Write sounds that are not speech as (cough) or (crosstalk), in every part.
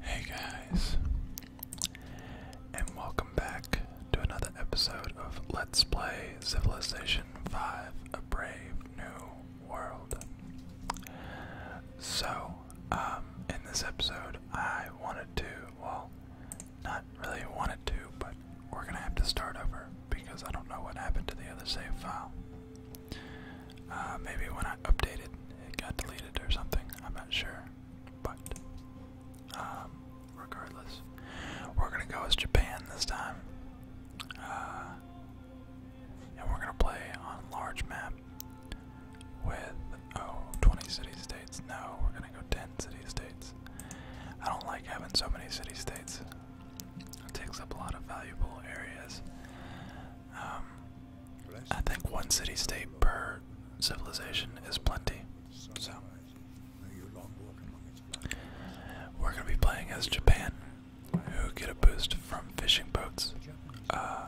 Hey guys, and welcome back to another episode of Let's Play Civilization 5 Brave New World. So, um, in this episode, I wanted to, well, not really wanted to, but we're gonna have to start over because I don't know what happened to the other save file. Uh, maybe when I updated, it got deleted or something. I'm not sure, but um, regardless, we're gonna go with Japan this time, uh, and we're gonna play on large map with oh 20 city states. No, we're gonna go 10 city states. I don't like having so many city states. It takes up a lot of valuable areas. Um, I think one city state per civilization is plenty. So we're gonna be playing as Japan, who get a boost from fishing boats. Uh,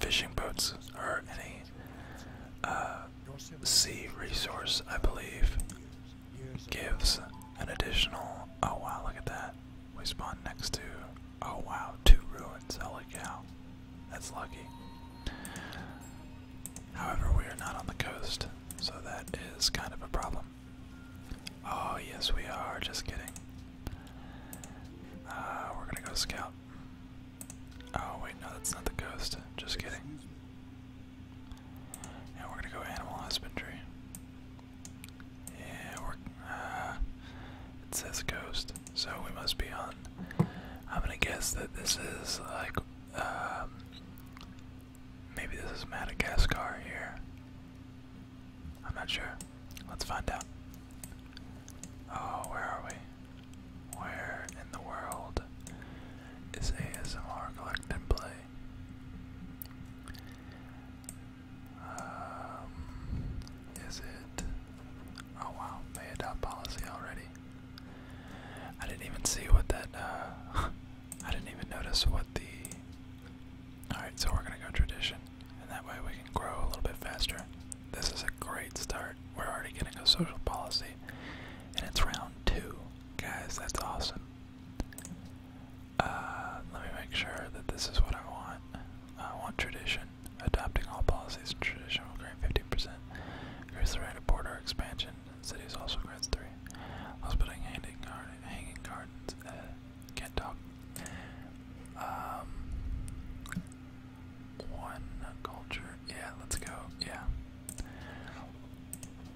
fishing boats or any uh, sea resource, I believe, gives an additional. Oh wow! Look at that. We spawn next to Oh wow, two ruins, holy That's lucky. However, we are not on the coast, so that is kind of a problem. Oh yes we are, just kidding. Uh, we're gonna go scout. Oh wait, no, that's not the coast, just kidding. And we're gonna go animal husbandry. Yeah, we're, uh, it says coast so we must be on. I'm gonna guess that this is like, um, maybe this is Madagascar here. I'm not sure. Let's find out. Oh, where are we? Where in the world is ASMR Collect and Play? Um, is it? Oh wow, they had policy already. I didn't even see what that. Uh, (laughs) I didn't even notice what the. All right, so we're gonna go tradition, and that way we can grow a little bit faster. This is a great start. We're already getting a social policy, and it's round two, guys. That's awesome. Uh, let me make sure that this is what I want. I want tradition adopting all policies traditional tradition grant 15%, Increase the rate of border expansion, cities also grants 3. Hospitaling, handing garden, hanging gardens, uh, can't talk. Um, one culture, yeah, let's go, yeah.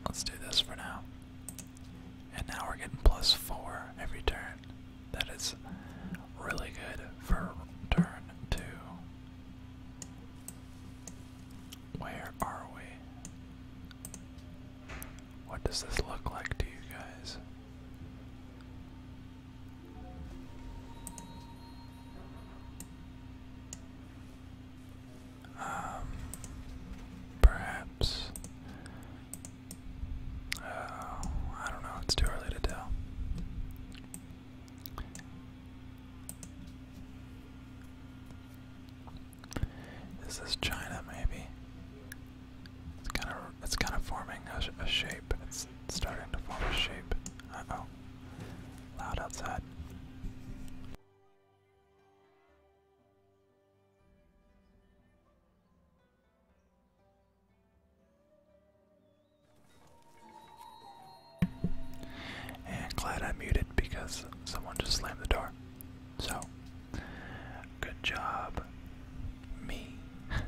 Let's do this for now. And now we're getting plus 4 every turn. That is really good for turn two. Where are we? What does this look like to you guys? Um, perhaps I don't know. It's too early to tell. Is this China? Maybe. It's kind of it's kind of forming a, a shape. It's starting to form a shape. Uh oh. Loud outside. And glad I muted because someone just slammed the door. So, good job, me. (laughs)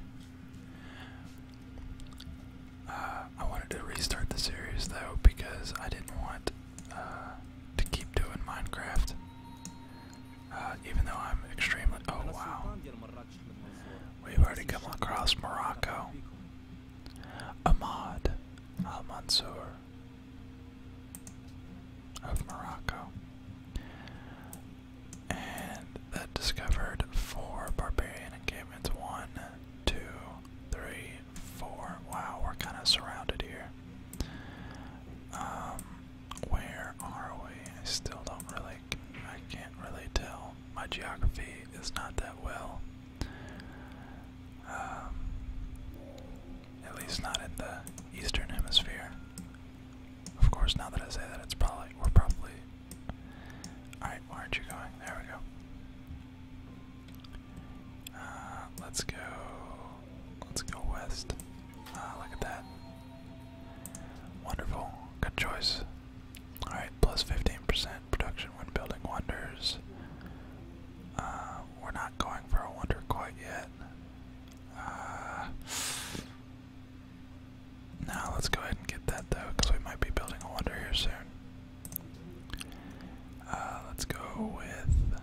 Uh, I wanted to restart the series though because I didn't want uh, to keep doing Minecraft. Uh, even though I'm extremely. Oh wow. We've already come across Morocco. Ahmad Al Mansour of Morocco. And that discovered four barbarian encampments. One, two, three, four. Wow, we're kind of surrounded here. Um, where are we? I still don't really I can't really tell. My geography is not that well. Um, at least not in the Eastern Hemisphere. Of course, now that I say that, it's probably we're probably. All right, where aren't you going? There we go. Uh, let's go. Let's go west. Uh, look at that. Wonderful. Good choice. Alright, plus 15% production when building wonders. Uh, we're not going for a wonder quite yet. Uh, now let's go ahead and get that though, because we might be building a wonder here soon. Uh, let's go with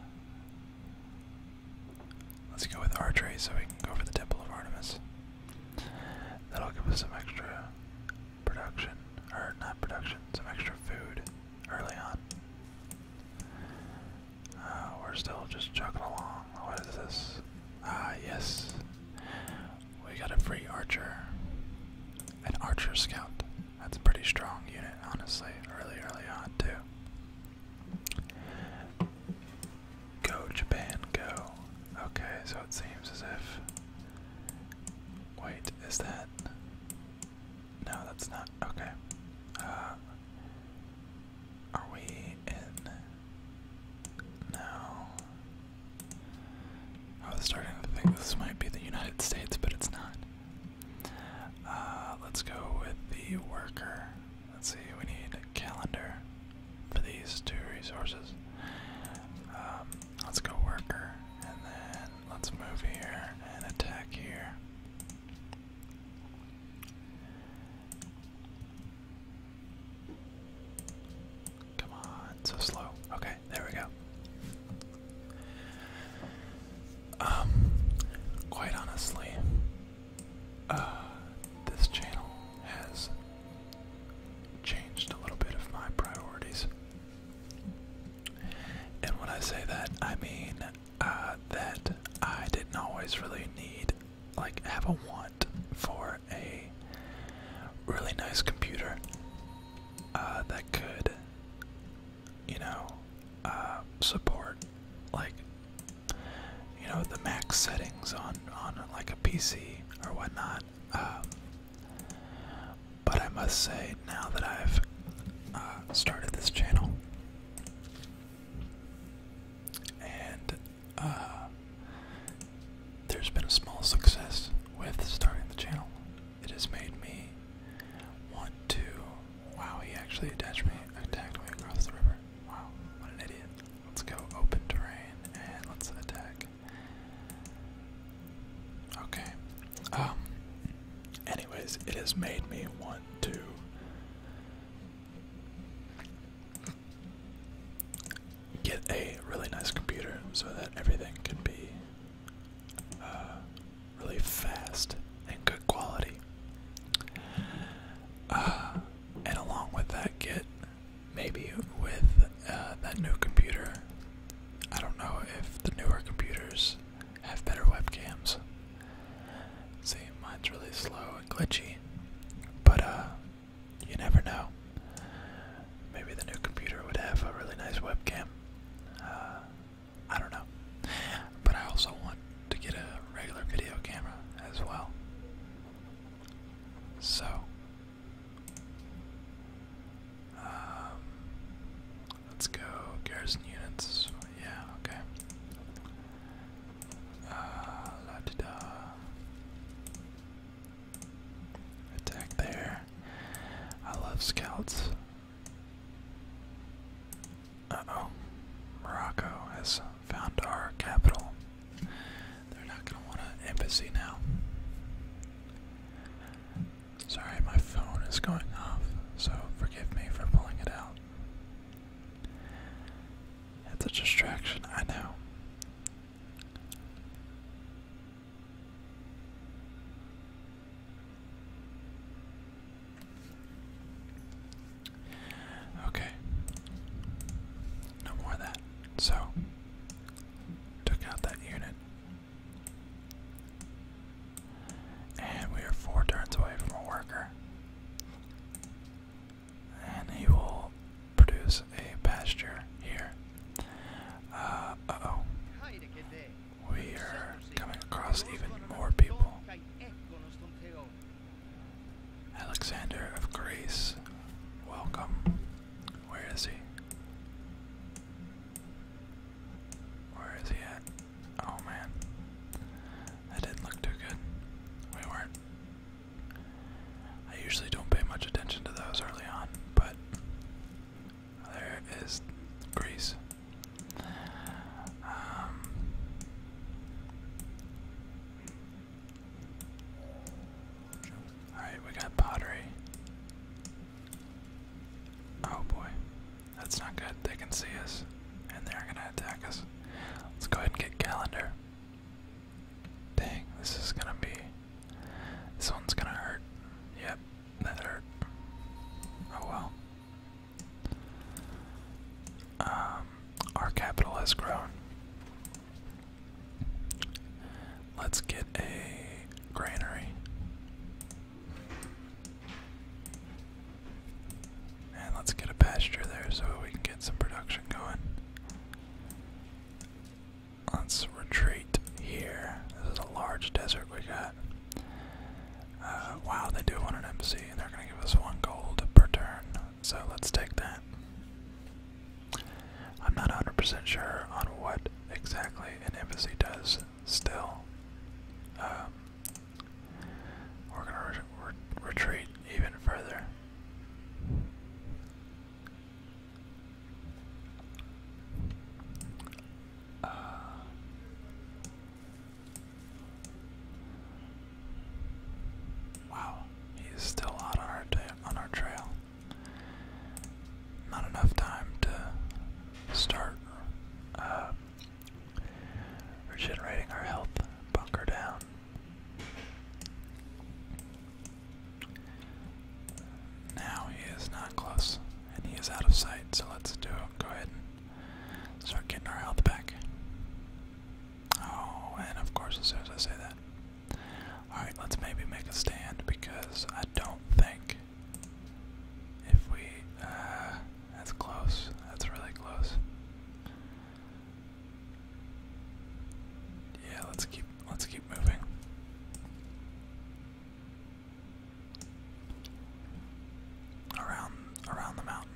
let's go with archery so we can go for the temple of Artemis. That'll give us some extra production, or not production, some extra food early on. Uh, we're still just chugging along. What is this? Ah, yes. We got a free archer. An archer scout. That's a pretty strong unit, honestly, really early on, too. Go Japan, go. Okay, so it seems as if. Wait, is that. No, that's not. Okay. Uh, are we in. No. I was starting to think this might be the United States, but it's not. Uh, let's go with the worker. Let's see, we need a calendar for these two resources. Um, let's go worker, and then let's move here and attack here. Come on, so slow. Okay, there we go. Um, quite honestly, uh, this channel has changed a little bit of my priorities. And when I say that, I mean uh, that I didn't always really need, like, have a want for a really nice computer uh, that could, you know, support like you know the max settings on on like a PC or whatnot. Um, but I must say, now that I've uh, started this channel and uh, there's been a small success with starting the channel, it has made me want to. Wow, he actually attached me, attacked me across the river. Wow, what an idiot. Let's go open terrain and let's attack. Okay. Um anyways, it has made me want to get a really nice computer so that everything can be uh, really fast and good quality. Uh, and along with that, get maybe with uh, that new computer. I don't know if the newer computers have better webcams. See, mine's really slow and glitchy, but uh, you never know. Maybe the new computer would have a really nice webcam. Uh, I don't know. But I also want to get a regular video camera as well. So, um, let's go garrison units. Yeah, okay. Uh, la -di da. Attack there. I love scouts. Uh oh, Morocco has found our capital. They're not going to want an embassy now. Sorry, my phone is going off, so forgive me for pulling it out. It's a distraction, I know. Okay. No more of that. So, took out that unit. And we are four turns away from a worker. And he will produce a pasture here. Uh, oh. We are coming across even more people. Alexander of Greece, welcome. Where is he? Where is he at? Oh man, that didn't look too good. We weren't. I usually don't pay much attention to those early on, but there is Greece. Um, Alright, we got pottery. Oh boy. That's not good. They can see us. And they're gonna attack us. Let's go ahead and get calendar. Dang, this is gonna be. This one's gonna hurt. Yep, that hurt. Oh well. Um, our capital has grown. Let's get a granary. And let's get a pasture there so we can get some production going. Let's retreat here. This is a large desert we got. Uh, wow, they do want an embassy, and they're going to give us one gold per turn so let's take that. I'm not 100% sure on what exactly an embassy does still. Um, we're going to retreat even further. Uh, Wow, he is still on our on our trail. Not enough time to start uh, regenerating our health. Bunker down. Now he is not close, and he is out of sight. So let's do it. Go ahead and start getting our health back. Oh, and of course, as soon as I say that. Alright, let's maybe make a stand because I don't think if we. Uh, that's close. That's really close. Yeah, let's keep let's keep moving. Around around the mountain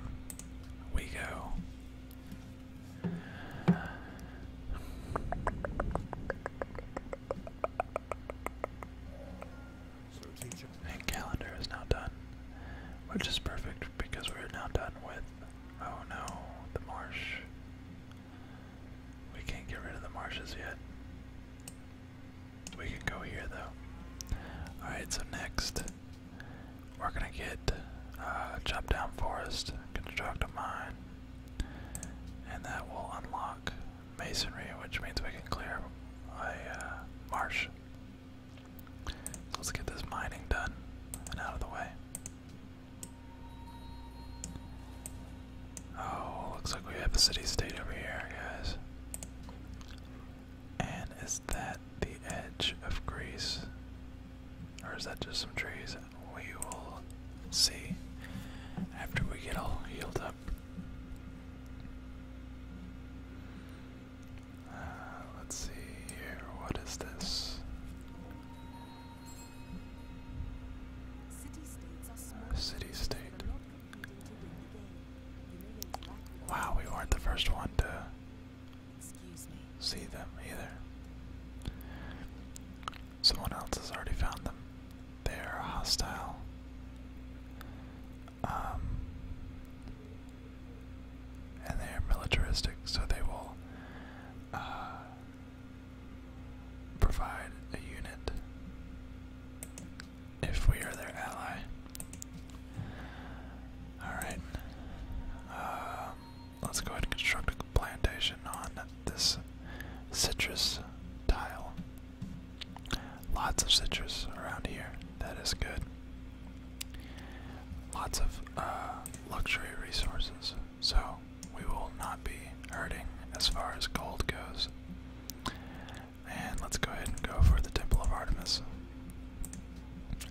we go. And calendar is now done, which is perfect because we're now done with. Oh no, the marsh. We can't get rid of the marshes yet. We can go here though. Alright, so next we're gonna get uh, chop down forest, construct a mine, and that will unlock masonry, which means we can clear a uh, marsh. let's get this mining done and out of the way. Oh, looks like we have a city state over here, guys. And is that the edge of Greece. Or is that just some trees? We will see after we get all healed up. Uh, let's see here. What is this? City state. Wow, we weren't the first one to see them either. Someone else has already found them. They are hostile. Um, and they are militaristic, so they will uh, provide a unit if we are their ally. Alright. Um, Let's go ahead and construct a plantation on this citrus tile. Lots of citrus around here. That is good. Lots of uh, luxury resources. So we will not be hurting as far as gold goes. And let's go ahead and go for the Temple of Artemis.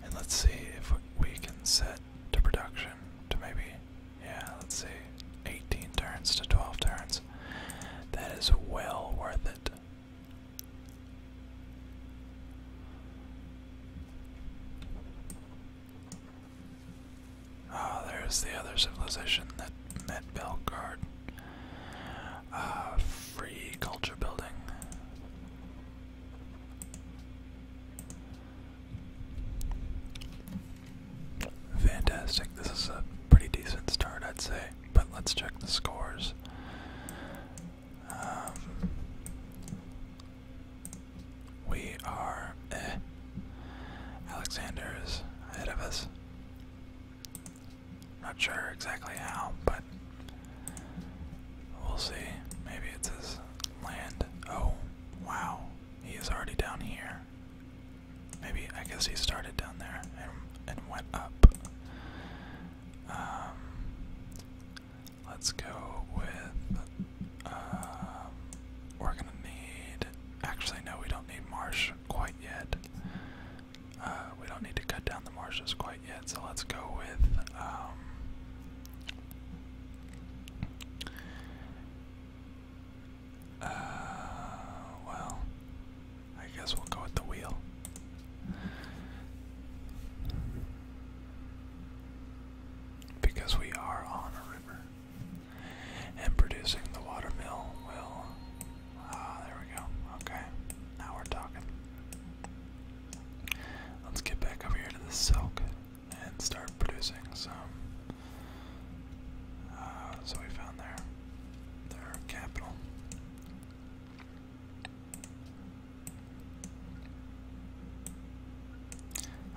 And let's see if we can set to production to maybe, yeah, let's see, 18 turns to 12 turns. That is well worth it. oh, there's the other civilization that met Belgard. Ah, free culture building. Fantastic. This is a pretty decent start, I'd say. But let's check the scores. Um, we are eh. Alexander is ahead of us. Not sure exactly how, but We'll see. Maybe it's his land. Oh, wow. He is already down here. Maybe, I guess he started down there and, and went up. Um, let's go with, um, we're gonna need, actually no, we don't need marsh quite yet. Uh, we don't need to cut down the marshes quite yet, so let's go with, um, uh, well, I guess we'll go with the wheel. Because we are on a river. And producing the watermill will. Ah, there we go. Okay. Now we're talking. Let's get back over here to the silk and start producing some. Uh, so we found their their capital.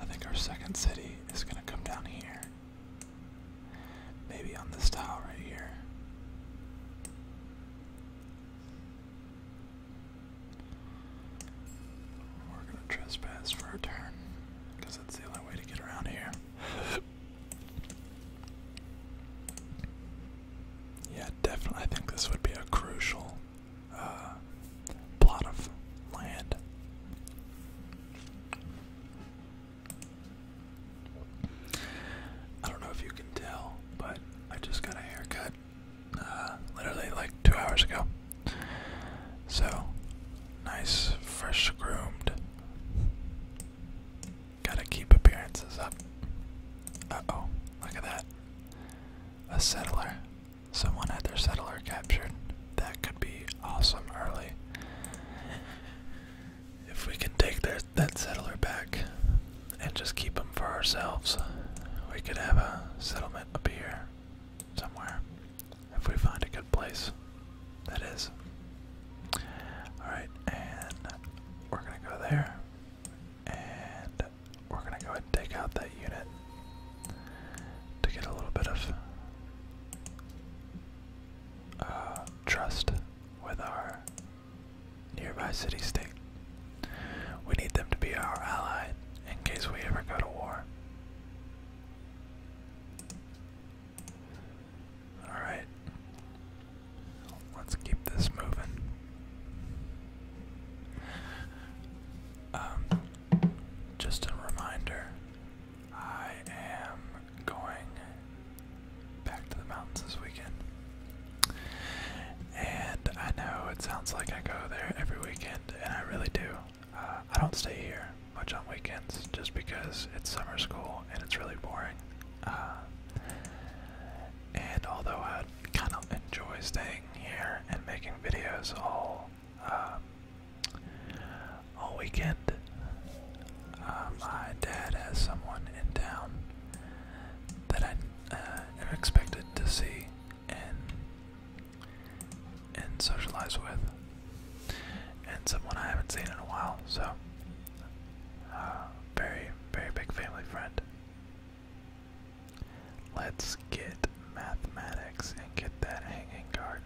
I think our second city is gonna come down here. Maybe on this tile right here. We're gonna trespass for a turn, that's the only way to get around here. (laughs) yeah, definitely. I think this would be a crucial uh, plot of land. I don't know if you can tell, but I just got a haircut. Uh, literally like two hours ago. So, nice, fresh groomed. Gotta keep appearances up. Uh oh, look at that. A settler. Someone had their settler captured. That could be awesome early. If we can take their, that settler back and just keep them for ourselves, we could have a settlement helmet somewhere. If we find a good place, that is. Alright, and we're gonna go there. And we're gonna go and take out that unit to get a little bit of uh, trust with our nearby city state. We need them to be our ally in case we ever go to war. Alright. Let's keep this moving. Um, just a reminder, I am going back to the mountains this weekend. And I know it sounds like I go there every weekend, and I really do. Uh, I don't stay here much on weekends just because it's summer school and it's really boring. Uh, and although I kind of enjoy staying here and making videos all um, all weekend, uh, my dad has someone in town that I uh, am expected to see and and socialize with, and someone I haven't seen in a while. So, uh, very very big family friend. Let's get mathematics and get that hanging garden.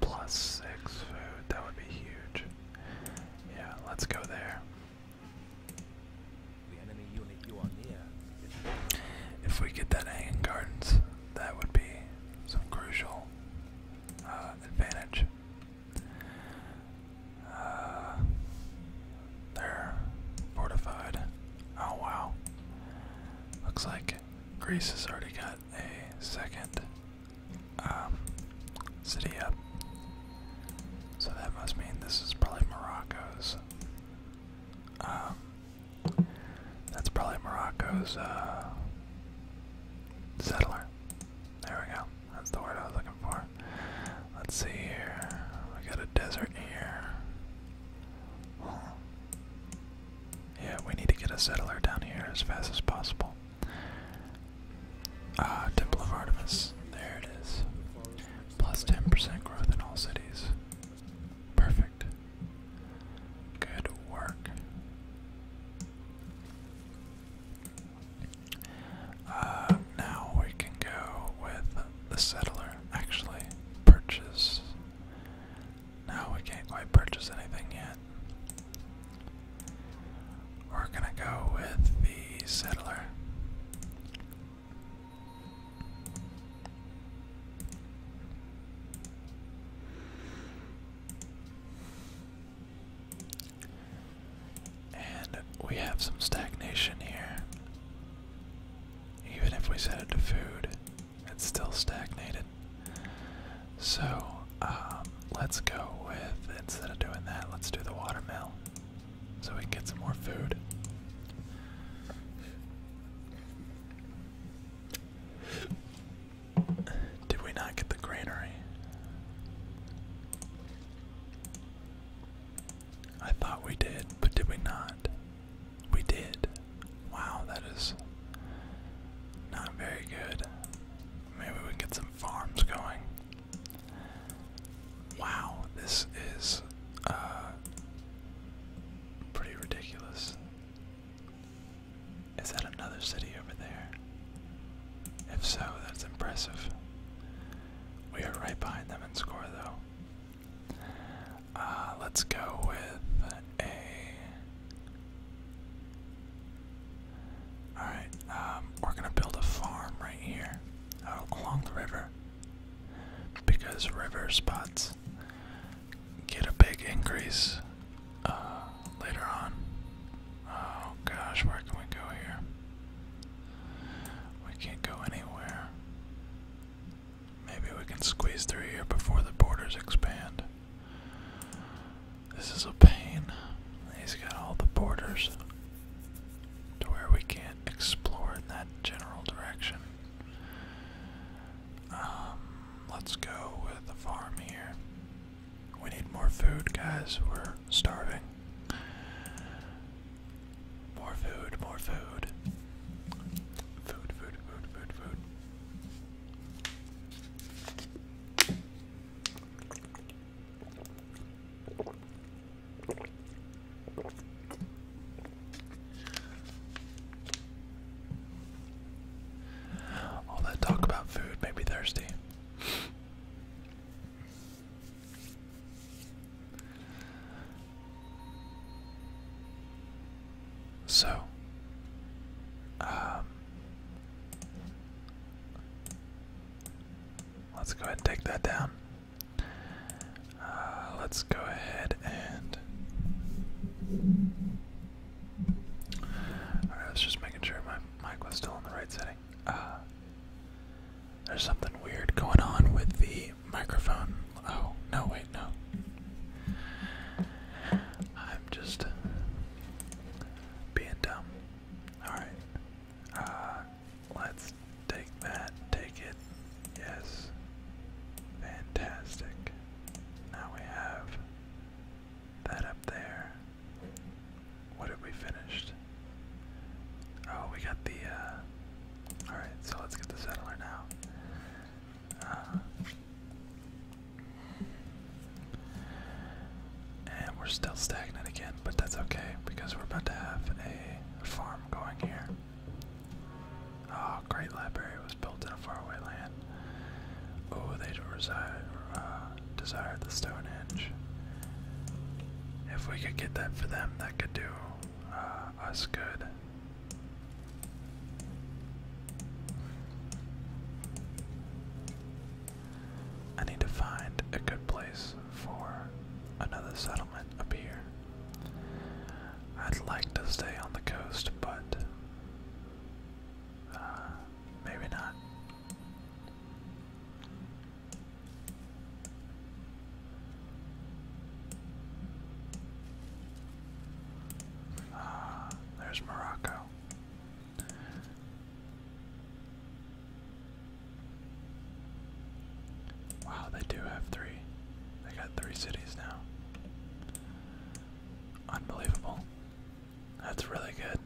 Plus six food, that would be huge. Yeah, let's go there. If we get that hanging gardens, that would be some crucial uh, advantage. Uh, they're fortified. Oh wow. Looks like Greece has already got a second um, city up. So that must mean this is probably Morocco's um, that's probably Morocco's uh, settler. There we go. That's the word I was looking for. Let's see here. We got a desert here. Yeah, we need to get a settler down here as fast as possible. Ah, Temple of Artemis. There it is. Plus 10% growth in all cities. Perfect. Good work. Uh, now we can go with the settler. Actually, purchase. No, we can't quite purchase anything yet. We're gonna go with the settler. And we have some stagnation here. Even if we set it to food, it's still stagnated. So um, let's go with, instead of doing that, let's do the watermill so we can get some more food. Did we not get the granary? I thought we did, but did we not? We did. Wow, that is not very good. Maybe we get some farms going. Wow, this is uh, pretty ridiculous. Is that another city over there? If so, that's impressive. We are right behind them in score, though. Uh, let's go with a. Alright, um, we're gonna build a farm right here uh, along the river because river spots get a big increase uh, later on. Oh gosh, where can we go here? We can't go anywhere. Maybe we can squeeze through here before the borders expand. This is a pain. He's got all the borders to where we can't explore in that general direction. Um, let's go with the farm here. We need more food, guys. We're starving. More food, more Food, food, food, food, food. All that talk about food made me thirsty. So, um, let's go ahead and take that down. Uh, let's go ahead and. I was just making sure my mic was still in the right setting. Uh, there's something weird going on with the microphone. Oh, no, wait, no. I'm just being dumb. Alright. Uh, Let's take that, take it. Yes. Fantastic. Now we have that up there. What have we finished? Oh, we got the, uh, alright, so let's get the settler now. Uh, and we're still stagnant again, but that's okay because we're about to have a farm going here. Oh, Great Library was built in a faraway land. Oh, they reside, uh, the Stonehenge. If we could get that for them, that could do uh, us good. I need to find a good place for another settlement up here. I'd like to stay on the coast, but uh, maybe not. Uh, there's Morocco. Wow, they do have three. They got three cities now. Unbelievable. That's really good.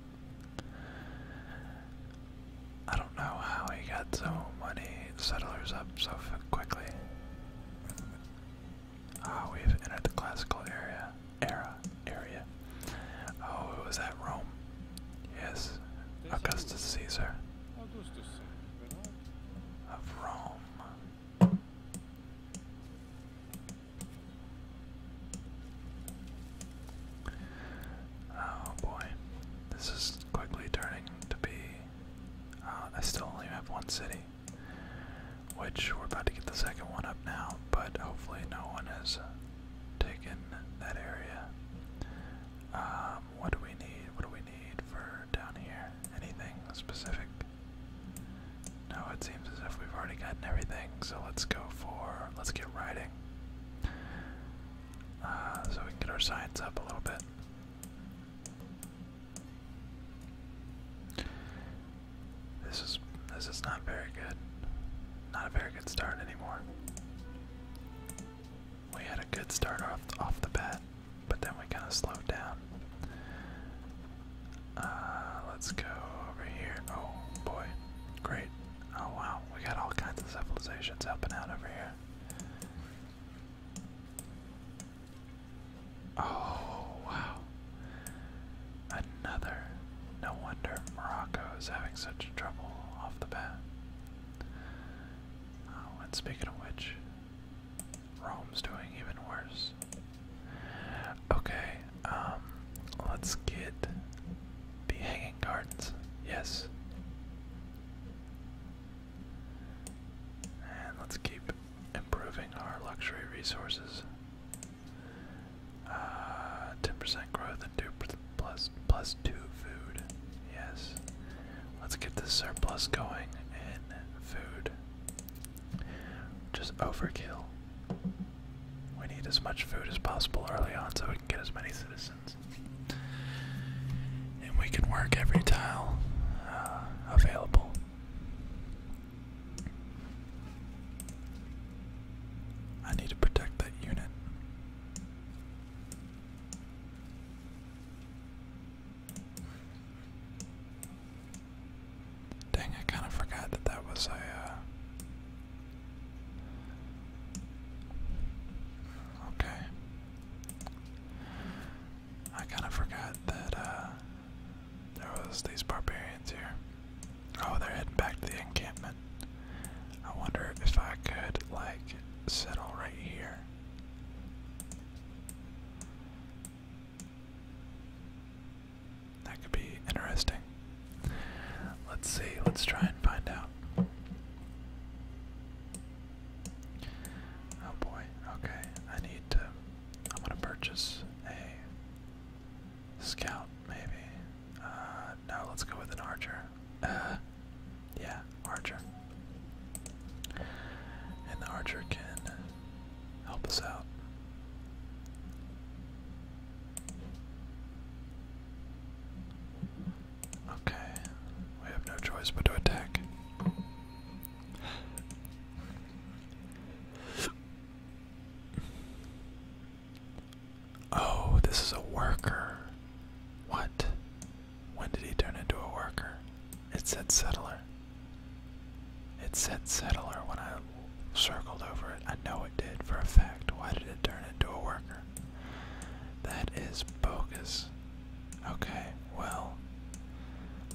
I don't know how he got so many settlers up so quickly. Ah, oh, we've entered the classical area, era, area. Oh, it was at Rome. Yes, Augustus Caesar of Rome. Oh boy, this is quickly turning to be. Uh, I still only have one city, which we're about to get the second one up now, but hopefully no one has taken that area. Um, what do we need? What do we need for down here? Anything specific? No, it seems as if we've already gotten everything, so let's go for. Let's get riding. Uh, so we can get our science up a little bit. This is this is not very good. Not a very good start anymore we had a good start off off the bat, but then we kind of slowed down. Uh, let's go over here. Oh boy, great! Oh wow, we got all kinds of civilizations helping out over here. Oh wow, another. No wonder Morocco is having such trouble off the bat. Oh, and speaking of which, Rome's doing even worse. Okay, um, let's get the Hanging Gardens. Yes. And let's keep improving our luxury resources. Uh, 10% growth and 2 plus plus two food. Yes. Let's get this surplus going in food. Just overkill. We need as much food as possible early on so we can get as many citizens. And we can work every tile uh, available. I need to protect that unit. Dang, I kind of forgot that that was a. Uh... Okay. I kind of forgot that uh, there was these barbarians here. Oh, they're heading back to the encampment. I wonder if I could like settle right here that could be interesting. Let's see, let's try and find out. Oh boy, okay, I need to. I'm gonna purchase a scout, maybe. Uh, no, let's go with an archer. Uh, yeah, Archer. And the Archer can help us out. Okay, we have no choice but to attack. Oh, this is a worker. What? When did he turn into a worker? It said settler. It said settler when I circled over it. I know it did for a fact. Why did it turn into a worker? That is bogus. Okay, well,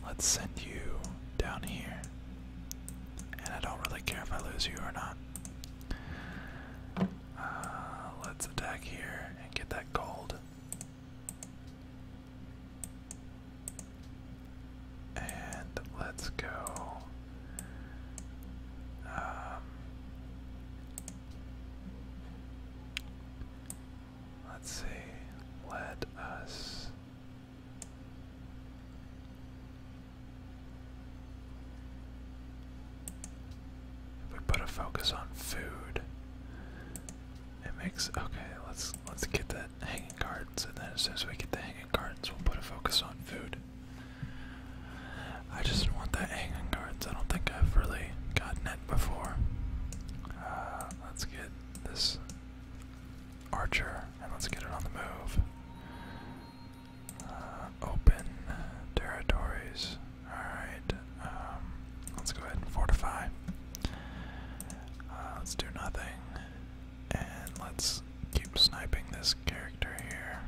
let's send you down here. And I don't really care if I lose you or not. Uh, let's attack here get that gold. And let's go. Um, let's see. Let us. If we put a focus on food, it makes okay. Let's let's get the hanging gardens, and then as soon as we get the hanging gardens, we'll put a focus on food. I just want that hanging gardens. I don't think I've really gotten it before. Uh, let's get this archer, and let's get it on the move. Uh, open uh, territories. Alright, um, let's go ahead and fortify. Uh, let's do nothing. And let's keep sniping this character here.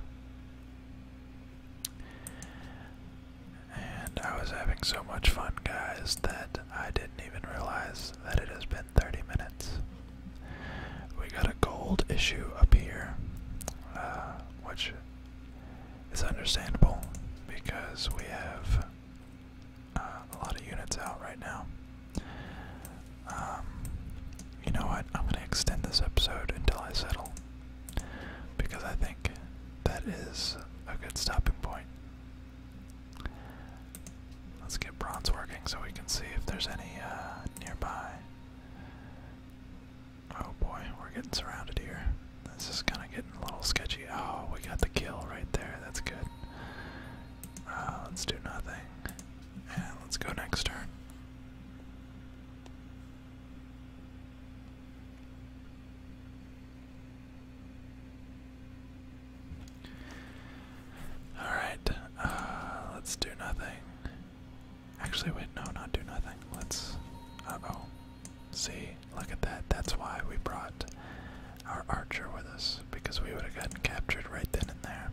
And I was having so much fun, guys, that I didn't even realize that it has been 30 minutes. We got a gold issue up here, uh, which it's understandable because we have uh, a lot of units out right now. Um, you know what? I'm going to extend this episode until I settle because I think that is a good stopping point. Let's get bronze working so we can see if there's any uh, nearby. Oh boy, we're getting surrounded here. This is kind of getting a little sketchy. Oh, we got the kill right there. That's good. Uh, let's do nothing. let's go next turn. Alright, uh, let's do nothing. Actually, wait, no, not do nothing. Let's. Uh See, look at that. That's why we brought our archer with us, because we would have gotten captured right then and there.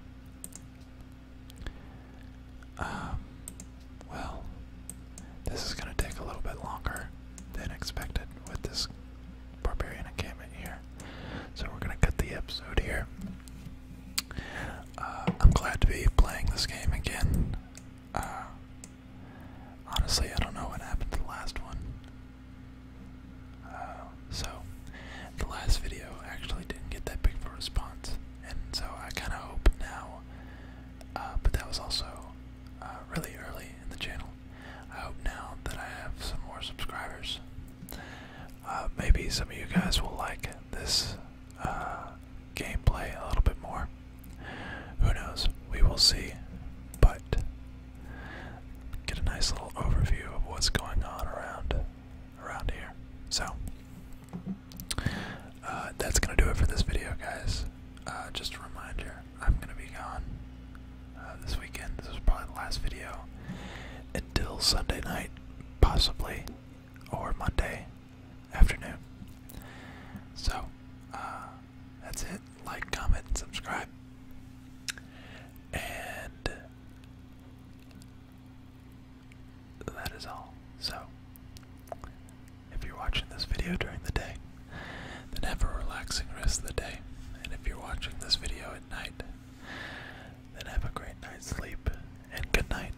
Um, well, this is going to take a little bit longer than expected with this barbarian encampment here. So we're going to cut the episode here. Uh, I'm glad to be playing this game again. Uh, Honestly, I don't know what happened to the last one. Uh, so, the last video actually didn't get that big of response, and so I kind of hope now, uh, but that was also uh, really early in the channel. I hope now that I have some more subscribers. maybe some of you guys will like this uh, gameplay a little bit more. Who knows? We will see. But get a nice little overview of what's going on around around here. So uh, that's gonna do it for this video, guys. Uh, just a reminder, I'm gonna be gone uh, this weekend. This is probably the last video until Sunday night, possibly, or Monday afternoon. So, uh, that's it. Like, comment, subscribe. And that is all. So, if you're watching this video during the day, then have a relaxing rest of the day. And if you're watching this video at night, then have a great night's sleep and good night.